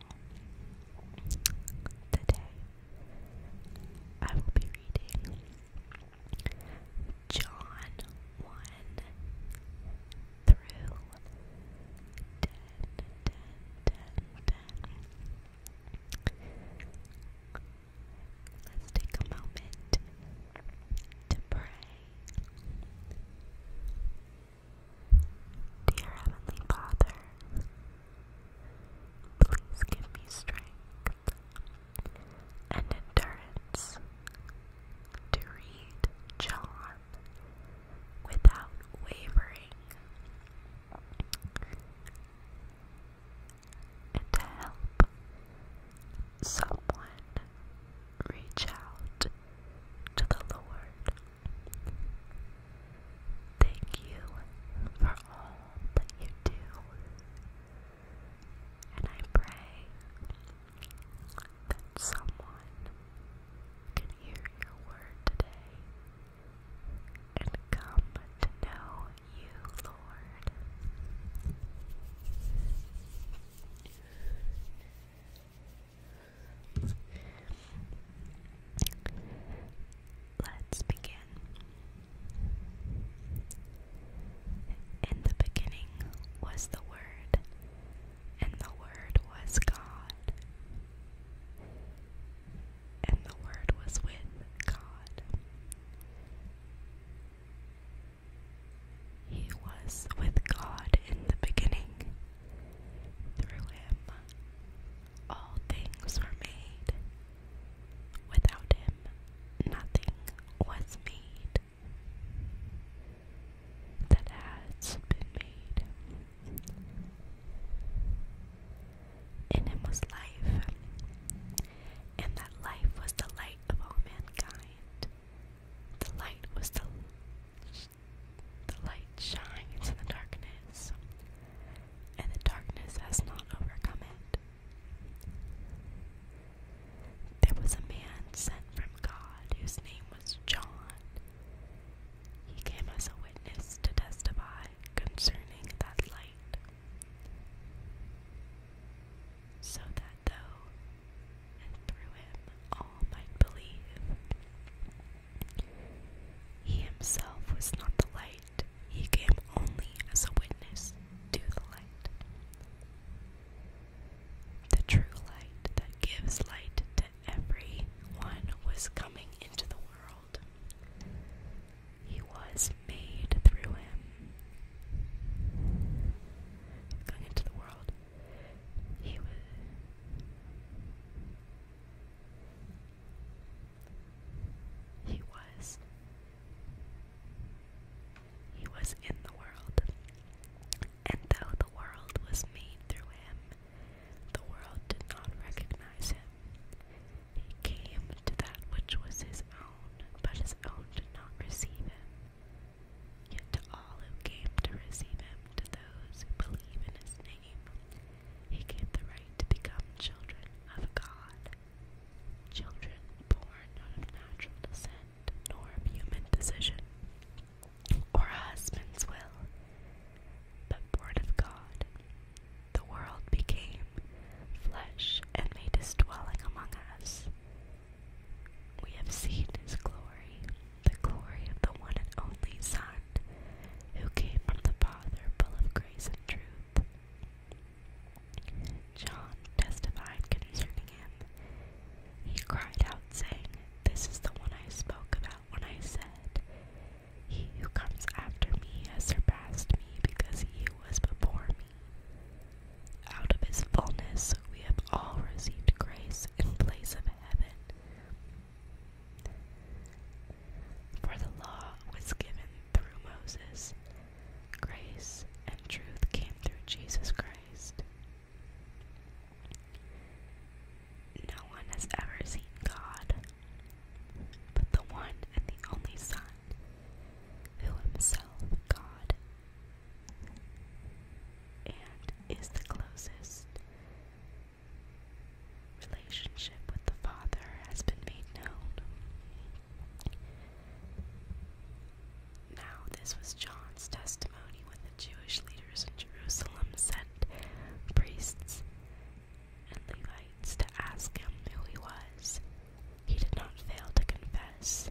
Today, I will be reading John 1 through 10, Let's take a moment to pray. Dear Heavenly Father, please give me strength and endurance to read John without wavering and to help someone reach out to the Lord Thank you for all that you do, and I pray that someone can hear your word today and come to know you, Lord. Let's begin. In the beginning was the Word, and the Word was God, and the Word was with God. He was with God in the beginning. Through him, all things were made. Without him, nothing was made that has been made. In him was life, and that life was the light of all mankind. The light was the the light shines in the darkness, and the darkness has not overcome it. There was a man sent from God whose name was John. He came as a witness to testify concerning that light, so that though through him all might believe. He himself was not the light, he came only as a witness to the light. The true light that gives light to every one was coming into the world. He was made through him. Going into the world. He was. He was. He was in the world. And though the world was made through him, the world did not recognize him. He came to that which was his own, but his own did not receive him. Yet to all who came to receive him, to those who believe in his name he gave the right to become children of God. Children born not of natural descent, nor of human decision, or a husband's will, but born of God. The world became flesh and made his dwelling among us. We have seen his glory, the glory of the one and only Son, who came from the Father, full of grace and truth. John testified concerning him. He cried out, saying, This is the one I spoke about when I said, who comes after me has surpassed me because he was before me. Out of his fullness we have all received grace in place of heaven. For the law was given through Moses, grace and truth came through Jesus Christ. No one has ever seen God, but the one and the only Son, who himself God and is the closest relationship with the Father has been made known. Now, this was John's testimony when the Jewish leaders in Jerusalem sent priests and Levites to ask him who he was. He did not fail to confess,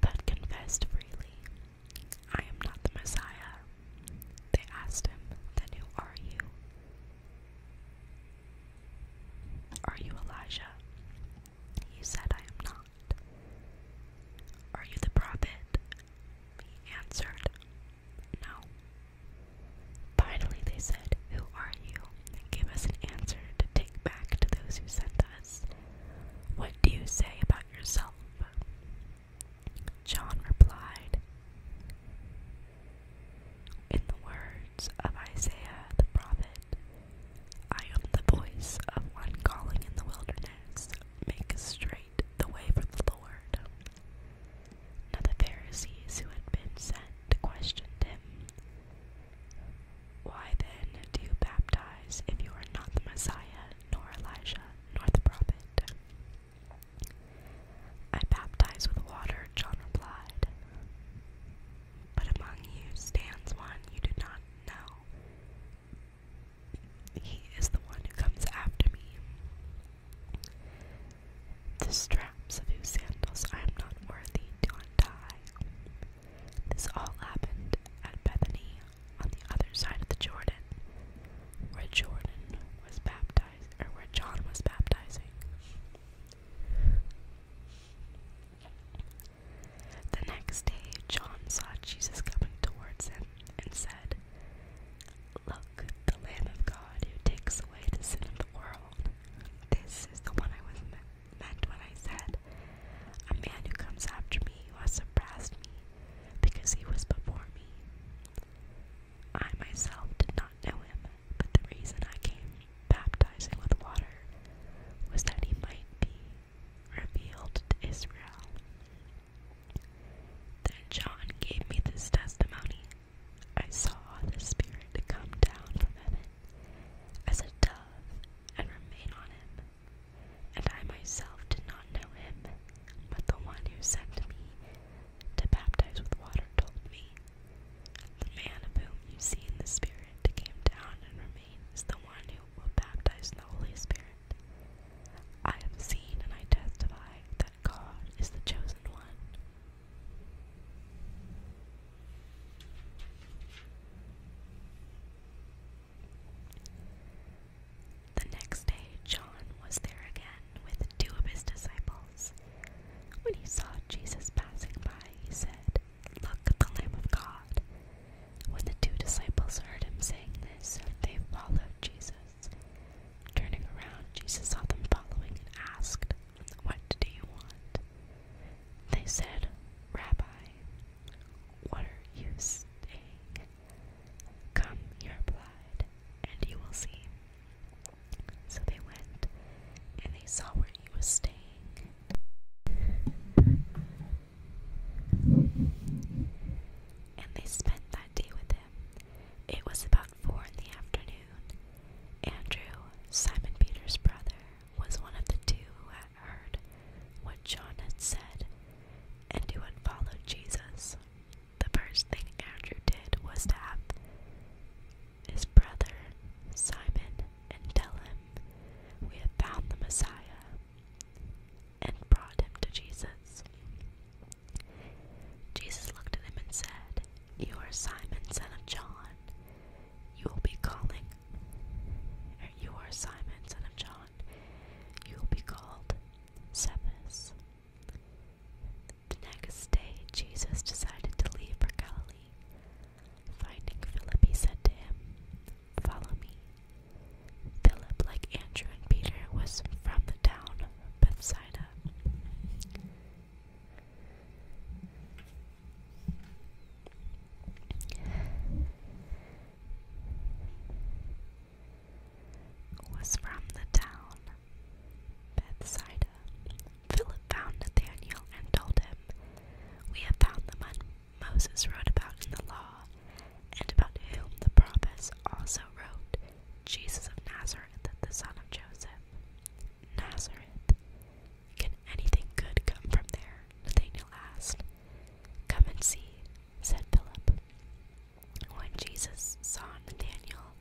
but confessed freely I am not the Messiah. They asked him, Then who are you? Are you Elijah? He said, I am not. Are you the prophet? He answered, No. Finally, they said, Who are you? Give us an answer to take back to those who sent us. What do you say about yourself? John replied, In the words of Isaiah the prophet, I am the voice of one calling in the wilderness, make straight the way for the Lord. Now the Pharisees who had been sent questioned him, Why then do you baptize if you are not the Messiah, nor Elijah, nor the prophet? I baptize with water, John replied. But among you stands one you do not know. He is the one who comes after me. The straps of whose sandals I am not worthy to untie. This all happened at Bethany, on the other side of the Jordan, where Jordan was baptized, or where John was baptizing. The next day, John saw Jesus coming towards him and said, Look, the Lamb of God who takes away the sin of the world. This is the one I was meant when I said, man who comes after me who surpassed me because he was before me. I myself did not know him, but the reason I came baptizing with water was that he might be revealed to Israel. Then John gave me this testimony. I saw the Spirit come down from heaven as a dove and remain on him and I myself did not know him, but the one who sent me to baptize with water told me, The man of whom you see in the Spirit came down and remained is the one who will baptize in the Holy Spirit. I have seen and I testify that God is the chosen one. The next day, John was there again with two of his disciples. When he saw Jesus passing by, he said, Look, at the Lamb of God. When the two disciples heard him saying this, they followed Jesus. Turning around, Jesus saw them following and asked, What do you want? They said, Rabbi, what are you saying?" Come, he replied, and you will see. So they went, and they saw where he was staying. And they spent that day with him. It was about four in the afternoon. Andrew, Simon Peter's brother, was one of the two who had heard what John had said and who had followed Jesus, the first thing Andrew did was to have his brother Simon and tell him, We have found the Messiah, and brought him to Jesus. Jesus looked at him and said, You are Simon, son of John. You will be calling, or you are Simon, son of John you will be called Cephas. The next day, Jesus decided to leave for Galilee. Finding Philip, he him, Follow me. Philip, like Andrew and Peter, was from the town of Bethsaida was from the town Bethsaida. Philip found Nathanael and told him, We have found the man Moses wrote about in the law, and about whom the prophets also wrote, Jesus of Nazareth, the son of Joseph. Nazareth. Can anything good come from there? Nathanael asked. Come and see, said Philip. When Jesus saw Nathanael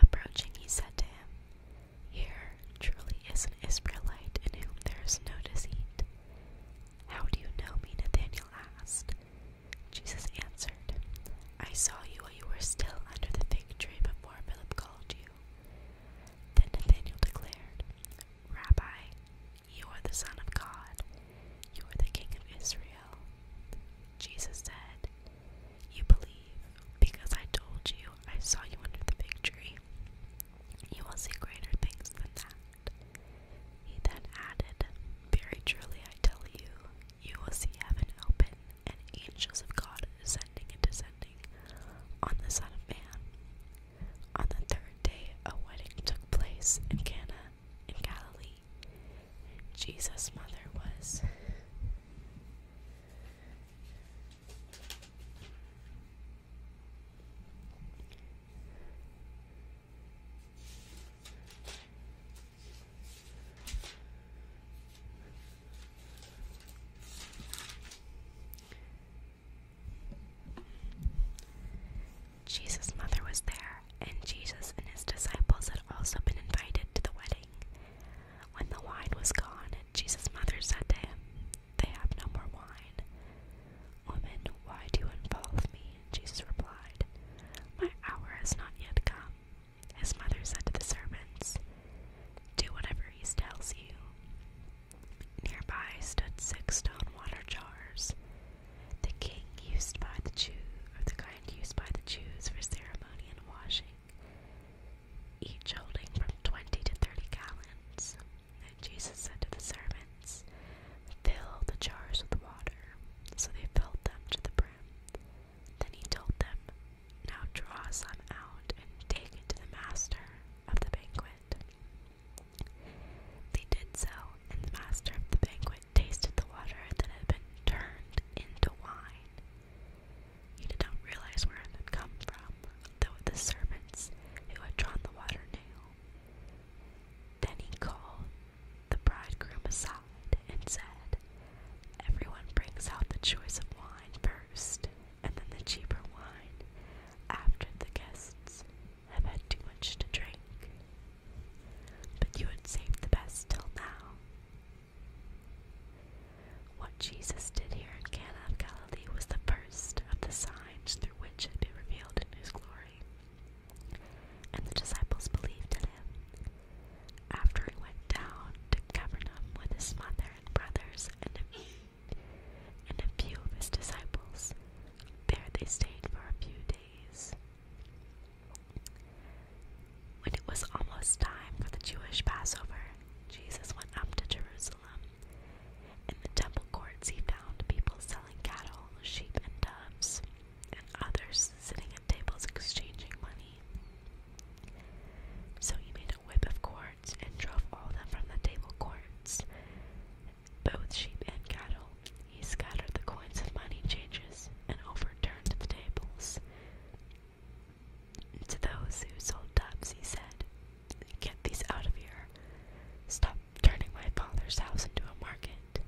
approaching, he said to him, Here truly is an Israelite in whom there is no deceit. How do you know me? Nathanael asked. Jesus answered, I saw you while you were still under the fig tree before Philip called you. Then Nathanael declared, Rabbi, you are the Son of God. You are the King of Israel. Jesus said, You believe because I told you I saw you under the fig tree. You will see greater things than that. He then added, Very truly I tell you, you will see heaven open and angels of God ascending and descending on the Son of Man. On the third day, a wedding took place in Cana in Galilee. Jesus' mother was Jesus' mother was there, and Jesus and his disciples had also been invited to the wedding. When the wine was gone, Jesus' mother said to him, They have no more wine. Woman, why do you involve me? Jesus replied, My hour has not yet come. His mother said to the servants, Do whatever he tells you. Nearby stood six stone water jars, the king used by the kind used by the Jews for ceremony and washing, each holding from twenty to thirty gallons. And Jesus said to the servants, Fill the jars with water. So they filled them to the brim. Then he told them, Now draw some out and take it to the master of the banquet. They did so, and the master of the banquet tasted the water that had been turned into wine. He did not realize where it had come from, though the servants who had drawn the water knew. Then he called the bridegroom aside and said, Everyone brings out the choice of wine first, and then the cheaper wine after the guests have had too much to drink. But you had saved the best till now. What Jesus did here in Cana of Galilee was the first of the signs through which had been revealed in his glory. And the disciples believed in him. After he went down to Capernaum with his mother and brothers and a few of his disciples, there they stayed for a few days. When it was almost time for the Jewish Passover, Jesus went up to Jerusalem. In the temple courts, he found people selling cattle, sheep, and doves, and others sitting at tables exchanging money. So he made a whip of cords and drove all of them from the table courts both sheep and cattle. He scattered the coins of money changes and overturned the tables. To those who sold dubs, he said, Get these out of here. Stop turning my father's house into a market.